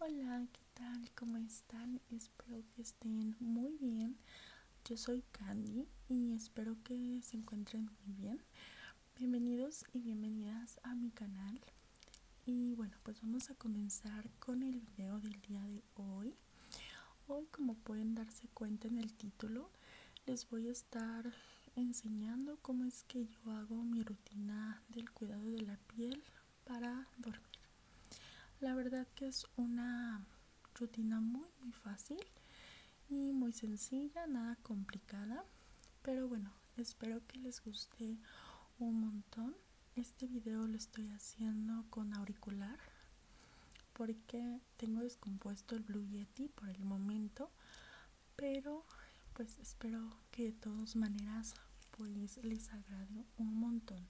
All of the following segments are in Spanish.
Hola, ¿qué tal? ¿Cómo están? Espero que estén muy bien. Yo soy Candy y espero que se encuentren muy bien. Bienvenidos y bienvenidas a mi canal. Y bueno, pues vamos a comenzar con el video del día de hoy. Hoy, como pueden darse cuenta en el título, les voy a estar enseñando cómo es que yo hago mi rutina del cuidado de la piel para dormir la verdad que es una rutina muy fácil y muy sencilla nada complicada pero bueno espero que les guste un montón este video lo estoy haciendo con auricular porque tengo descompuesto el Blue Yeti por el momento pero pues espero que de todas maneras pues les agrade un montón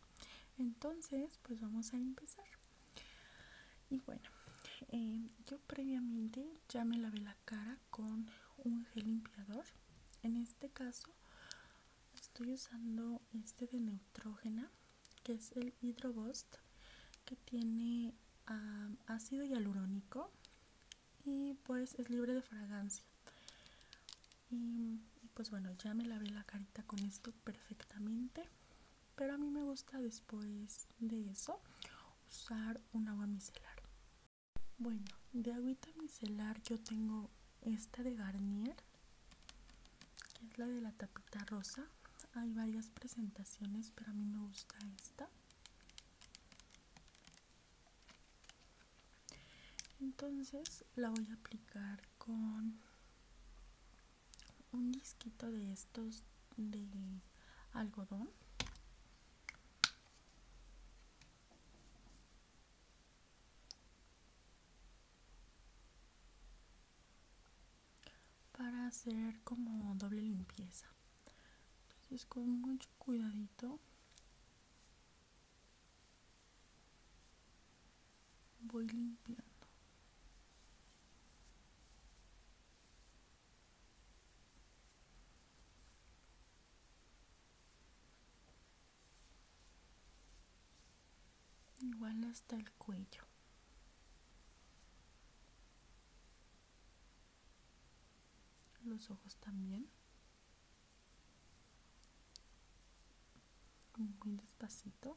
entonces pues vamos a empezar y bueno eh, yo previamente ya me lavé la cara con un gel limpiador en este caso estoy usando este de neutrógena que es el hidrobost que tiene ah, ácido hialurónico y pues es libre de fragancia y, pues bueno ya me lavé la carita con esto perfectamente pero a mí me gusta después de eso usar un agua micelar bueno de agüita micelar yo tengo esta de Garnier que es la de la tapita rosa hay varias presentaciones pero a mí me gusta esta entonces la voy a aplicar con un disquito de estos de algodón para hacer como doble limpieza entonces con mucho cuidadito voy limpiando igual hasta el cuello los ojos también muy despacito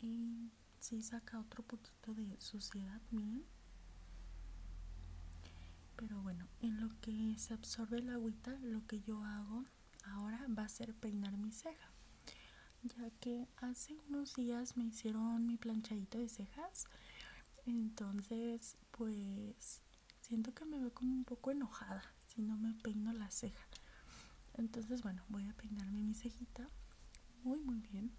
y si saca otro poquito de suciedad mío pero bueno en lo que se absorbe el agüita lo que yo hago ahora va a ser peinar mi ceja ya que hace unos días me hicieron mi planchadito de cejas entonces pues siento que me veo como un poco enojada si no me peino la ceja entonces bueno voy a peinarme mi cejita muy muy bien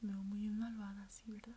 veo muy malvada así verdad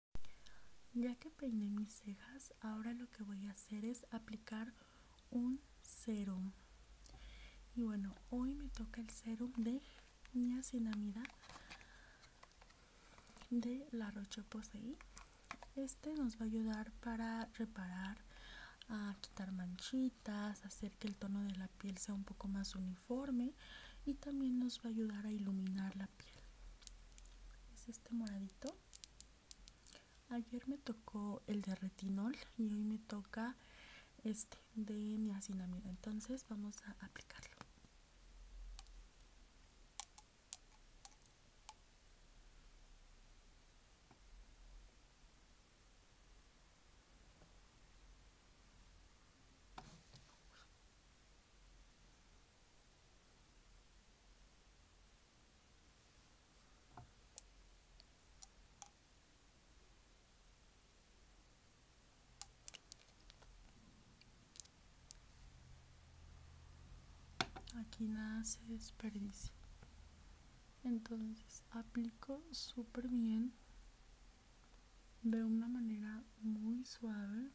Ya que peiné mis cejas, ahora lo que voy a hacer es aplicar un serum. Y bueno, hoy me toca el serum de niacinamida de la Roche Posay. Este nos va a ayudar para reparar, a quitar manchitas, hacer que el tono de la piel sea un poco más uniforme y también nos va a ayudar a iluminar la es este moradito ayer me tocó el de retinol y hoy me toca este de niacinamida entonces vamos a aplicarlo Aquí nada se desperdicia. Entonces aplico súper bien de una manera muy suave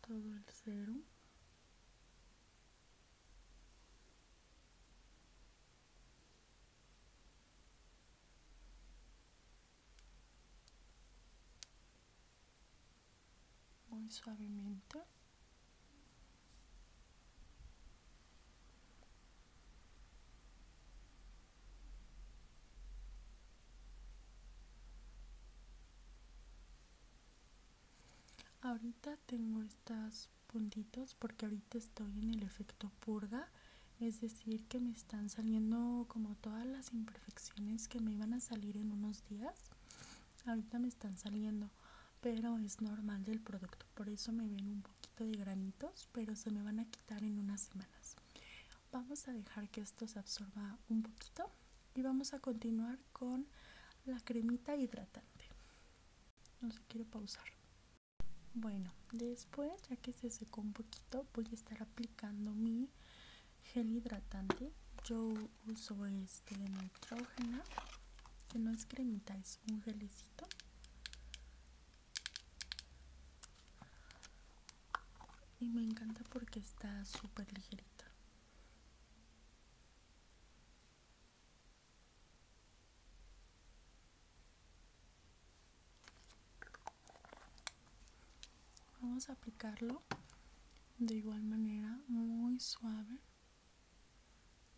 todo el cero muy suavemente Ahorita tengo estos puntitos porque ahorita estoy en el efecto purga. Es decir, que me están saliendo como todas las imperfecciones que me iban a salir en unos días. Ahorita me están saliendo, pero es normal del producto. Por eso me ven un poquito de granitos, pero se me van a quitar en unas semanas vamos a dejar que esto se absorba un poquito y vamos a continuar con la cremita hidratante no se quiero pausar bueno después ya que se secó un poquito voy a estar aplicando mi gel hidratante yo uso este de nitrógeno. que no es cremita es un gelecito y me encanta porque está súper ligerita. Vamos a aplicarlo de igual manera, muy suave,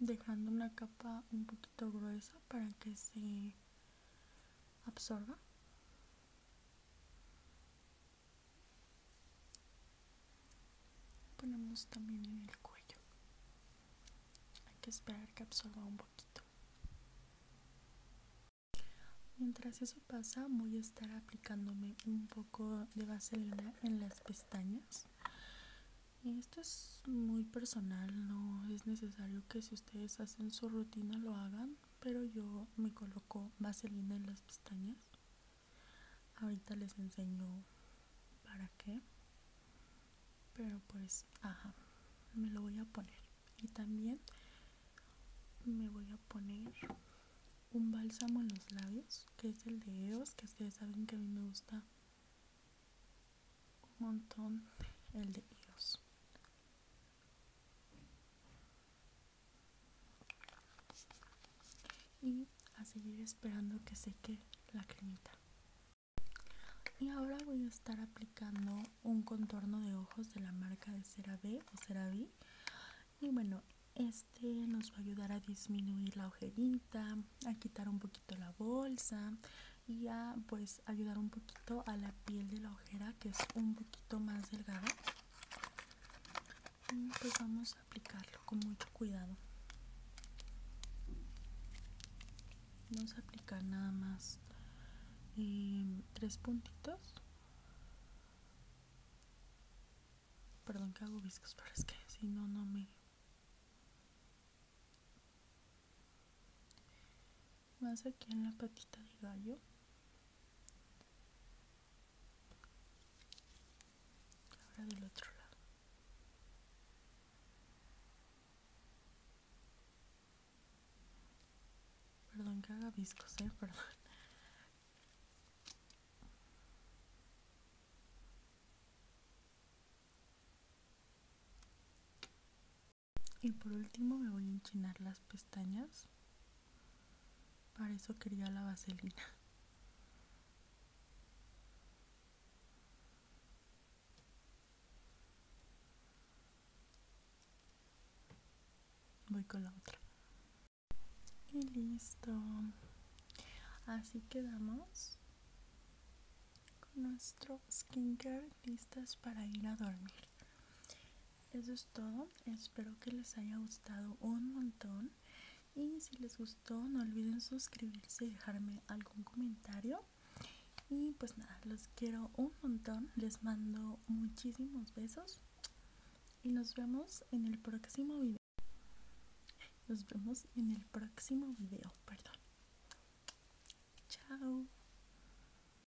dejando una capa un poquito gruesa para que se absorba. Ponemos también en el cuello. Hay que esperar que absorba un poquito. Mientras eso pasa, voy a estar aplicándome un poco de vaselina en las pestañas. Y esto es muy personal, no es necesario que si ustedes hacen su rutina lo hagan, pero yo me coloco vaselina en las pestañas. Ahorita les enseño para qué. Pero pues, ajá, me lo voy a poner. Y también me voy a poner un bálsamo en los labios, que es el de EOS, que ustedes saben que a mí me gusta un montón el de EOS y a seguir esperando que seque la cremita y ahora voy a estar aplicando un contorno de ojos de la marca de Cera B o B y bueno este nos va a ayudar a disminuir la ojerita a quitar un poquito la bolsa y a pues ayudar un poquito a la piel de la que es un poquito más delgado, mm, pues vamos a aplicarlo con mucho cuidado vamos a aplicar nada más em, tres puntitos perdón que hago viscos pero es que si no no me más aquí en la patita del gallo ahora del otro lado Perdón que haga viscos, ¿eh? perdón y por último me voy a enchinar las pestañas para eso quería la vaselina voy con la otra y listo así quedamos con nuestro skincare listas para ir a dormir eso es todo espero que les haya gustado un montón y si les gustó no olviden suscribirse y dejarme algún comentario y pues nada los quiero un montón les mando muchísimos besos y nos vemos en el próximo video nos vemos en el próximo video perdón chao